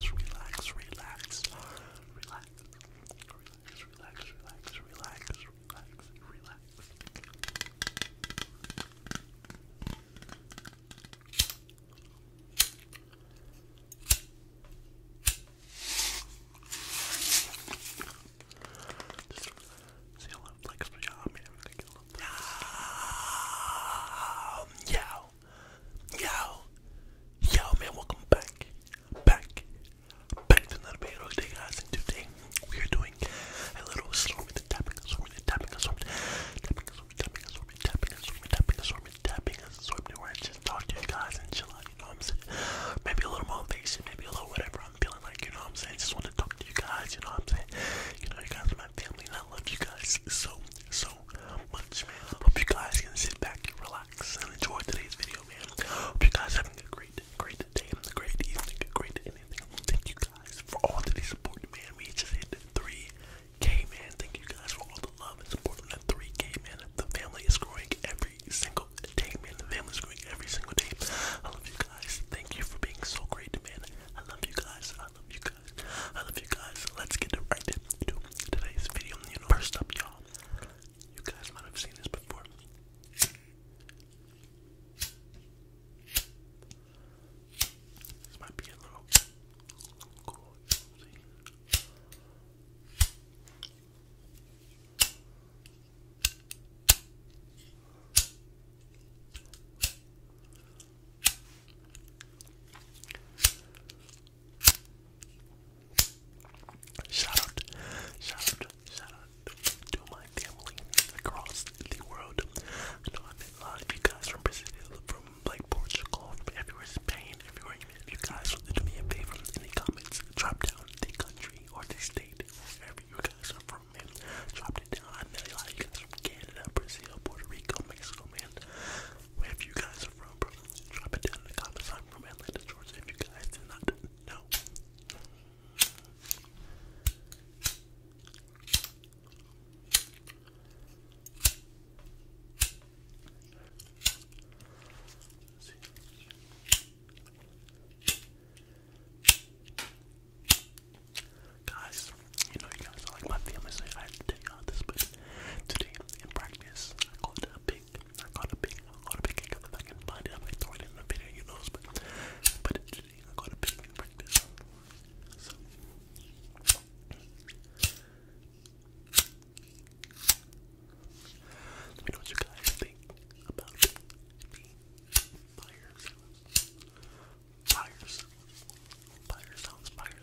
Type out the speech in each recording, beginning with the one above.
relax, relax, relax, relax, relax, relax, relax, relax, relax. Just see a little flex for y'all. I mean, everything a little flex. Yeah, yo, yo, man, welcome back, back, back to another video today, guys. And today we are doing a little assortment, the tapping assortment, the tapping assortment, tapping assortment, tapping assortment, tapping assortment, tapping assortment, tapping assortment, where I just talk to you guys and chill out. You know what I'm saying? Maybe a little motivation, maybe a little whatever I'm feeling like. You know what I'm saying? Just want to talk to you guys. You know what I'm saying? You know, you guys are my family, and I love you guys so, so, much, man. Hope you guys can sit back and relax and enjoy today's video, man. Hope you guys are having a great, great day, a great evening, a great anything. Thank you guys for all the support, man. We just hit 3K, man. Thank you guys for all the love and support on that 3K, man. The family is growing every single day, man. The family is growing every single day. I love you guys. Thank you for being so great, man. I love you guys. I love you I love you guys. Let's get right into today's video. first up, y'all. You guys might have seen this before. This might be a little cool. Shout out, shout out, shout out to my family across the world. I know I met a lot of you guys from Brazil, from like Portugal, from everywhere, Spain, everywhere. If you guys would do me a favor in the comments, drop down the country or the state, wherever you guys are from, man. Drop it down. I met a lot of you guys from Canada, Brazil, Puerto Rico, Mexico, man wherever you guys are from, bro. Drop it down in the comments. I'm from Atlanta, Georgia, if you guys do not know. Guys, you know, you guys are my family, so I have to this, but today in practice, I caught a big, I caught a big, I caught a big egg if I can find I'm gonna throw it in the video, you know, but, but today I caught a big in practice. Let me know what you guys think about the fire sounds. sounds. Fire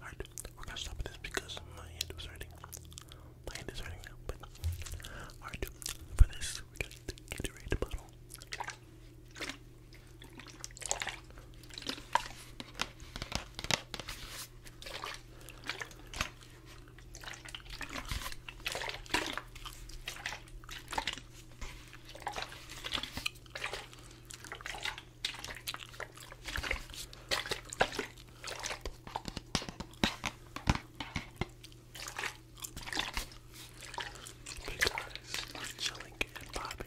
Alright, we're gonna stop this because my hand was hurting. My hand is hurting now, but alright, for this we got the Gatorade bottle. Big eyes, chilling and popping.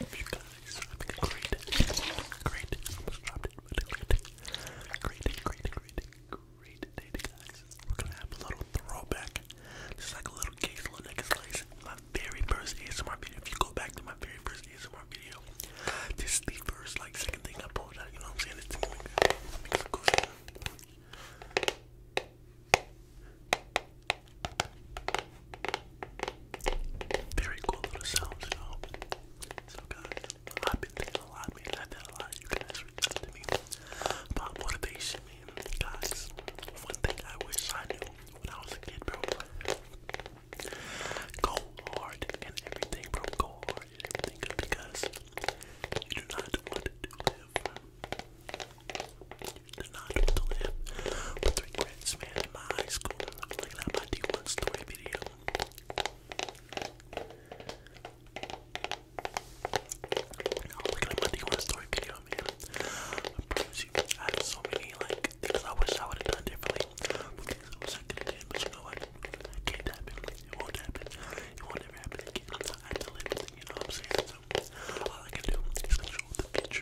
If you guys are having a great, great, almost dropped it, but a great, great, great, guys, we're gonna have a little throwback, just like a little case, little neck slice. My very first ASMR video, if you go back to my very first ASMR video, this the first, like, second thing I pulled out, you know what I'm saying? Very cool little sounds, you know. So guys, I've been thinking a lot, man. I've had a lot of you guys reach out to me about motivation, Guys, one thing I wish I knew when I was a kid, bro. Go hard and everything, bro. Go hard and everything, because you do not want to live not to live with regrets, man. In my high school, like that, my D1 story video. No, look at my D1 story video, man. I promise you, I had so many, like, I wish I would have done differently. But things I but you know what? can't happen. won't happen. won't ever happen I have to live it, you know what I'm saying? all I can do is control the future.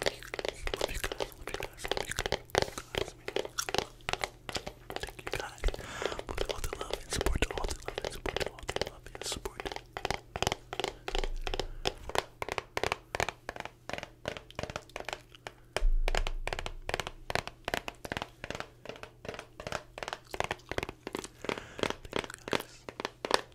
Thank you guys for all the love support, all the love support, all the love support. Thank you guys.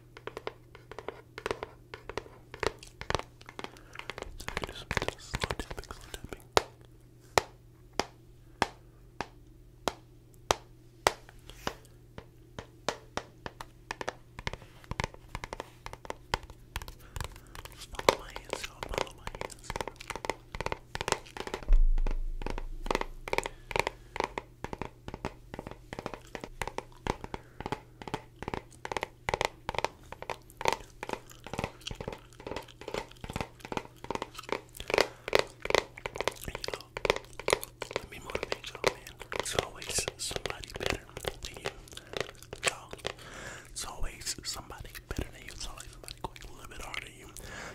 I do some slow tapping, slow tapping. Just follow my hands, y'all. Follow my hands. You know, let me motivate y'all, man. It's always somebody better than you. Y'all, it's always somebody better than you. It's always somebody going a little bit harder than you.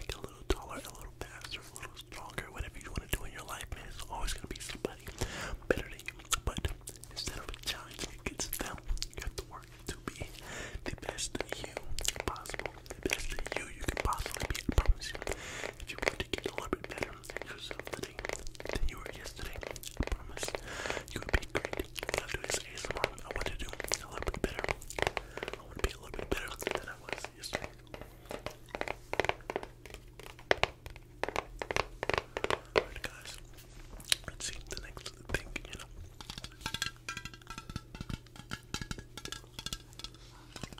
Get a little taller, a little faster, a little stronger. Whatever you want to do in your life, man, it's always going to be somebody better than you. But instead of challenging against you have to work to be the best you possible. The best you you can possibly be. I promise you. If you want to get a little bit better at yourself today than you were yesterday, I promise you would be great. When I do this ASMR, I want to do a little bit better. I want to be a little bit better than I was yesterday. Alright, guys, let's see the next thing, you know. Alright,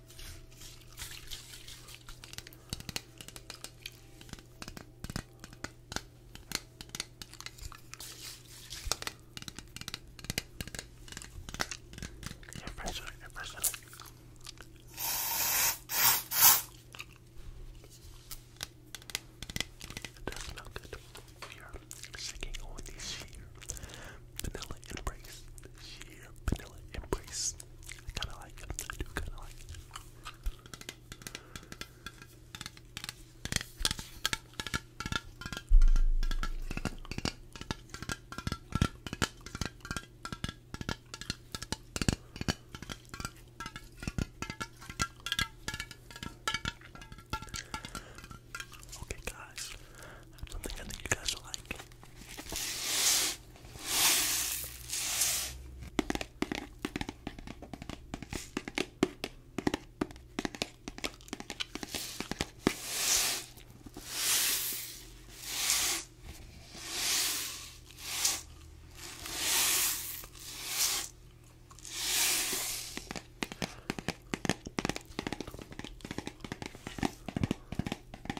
Impressive, impressive. It does smell good. We are sticking all these here Vanilla Embrace. Sheer Vanilla Embrace. I kinda like it. I do kinda like it. Okay, guys, Something I think you guys will like.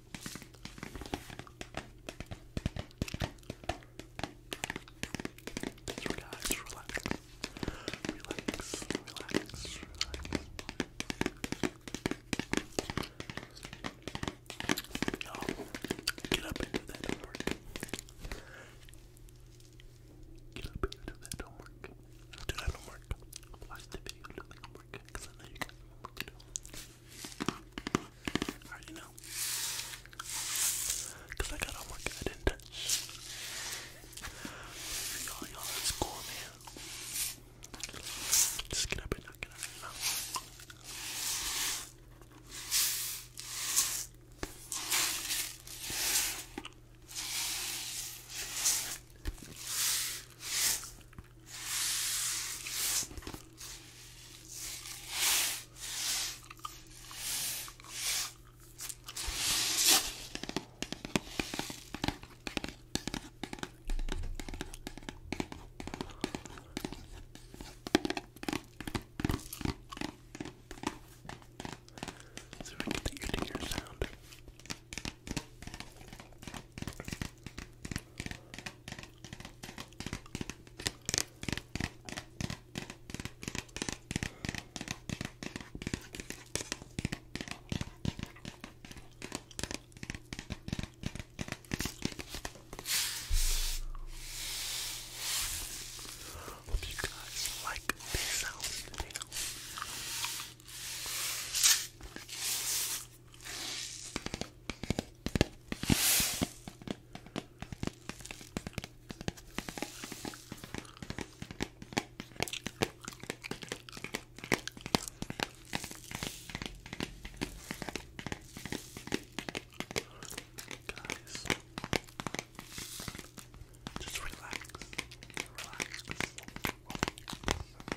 Just relax, relax, relax, relax, relax. get up and do that homework. Get up and do that homework. Do that homework. Watch the video, do the homework, because I know you got I Cause I got homework I didn't touch. Y'all, y'all in school, man. Just get up and knock it out so we get the ear-to-ear sound. Hope you guys like this sound video. Guys, just relax, relax.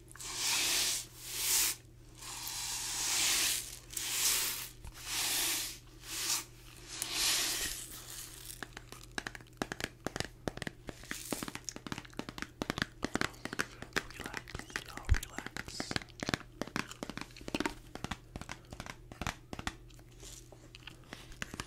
Relax, y'all relax.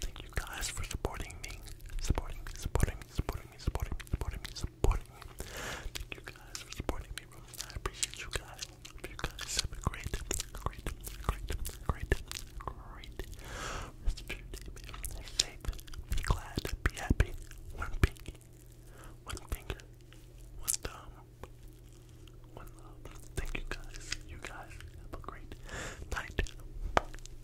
Thank you guys for supporting me. Supporting me, supporting me, supporting me, supporting me, supporting me, supporting me. Thank you guys for supporting me, bro. I appreciate you guys. Hope you guys have a great, great, great, great, great rest of your day, man. Be safe, be glad, be happy. One pinky, one finger, one thumb, one love. Thank you guys. You guys have a great night.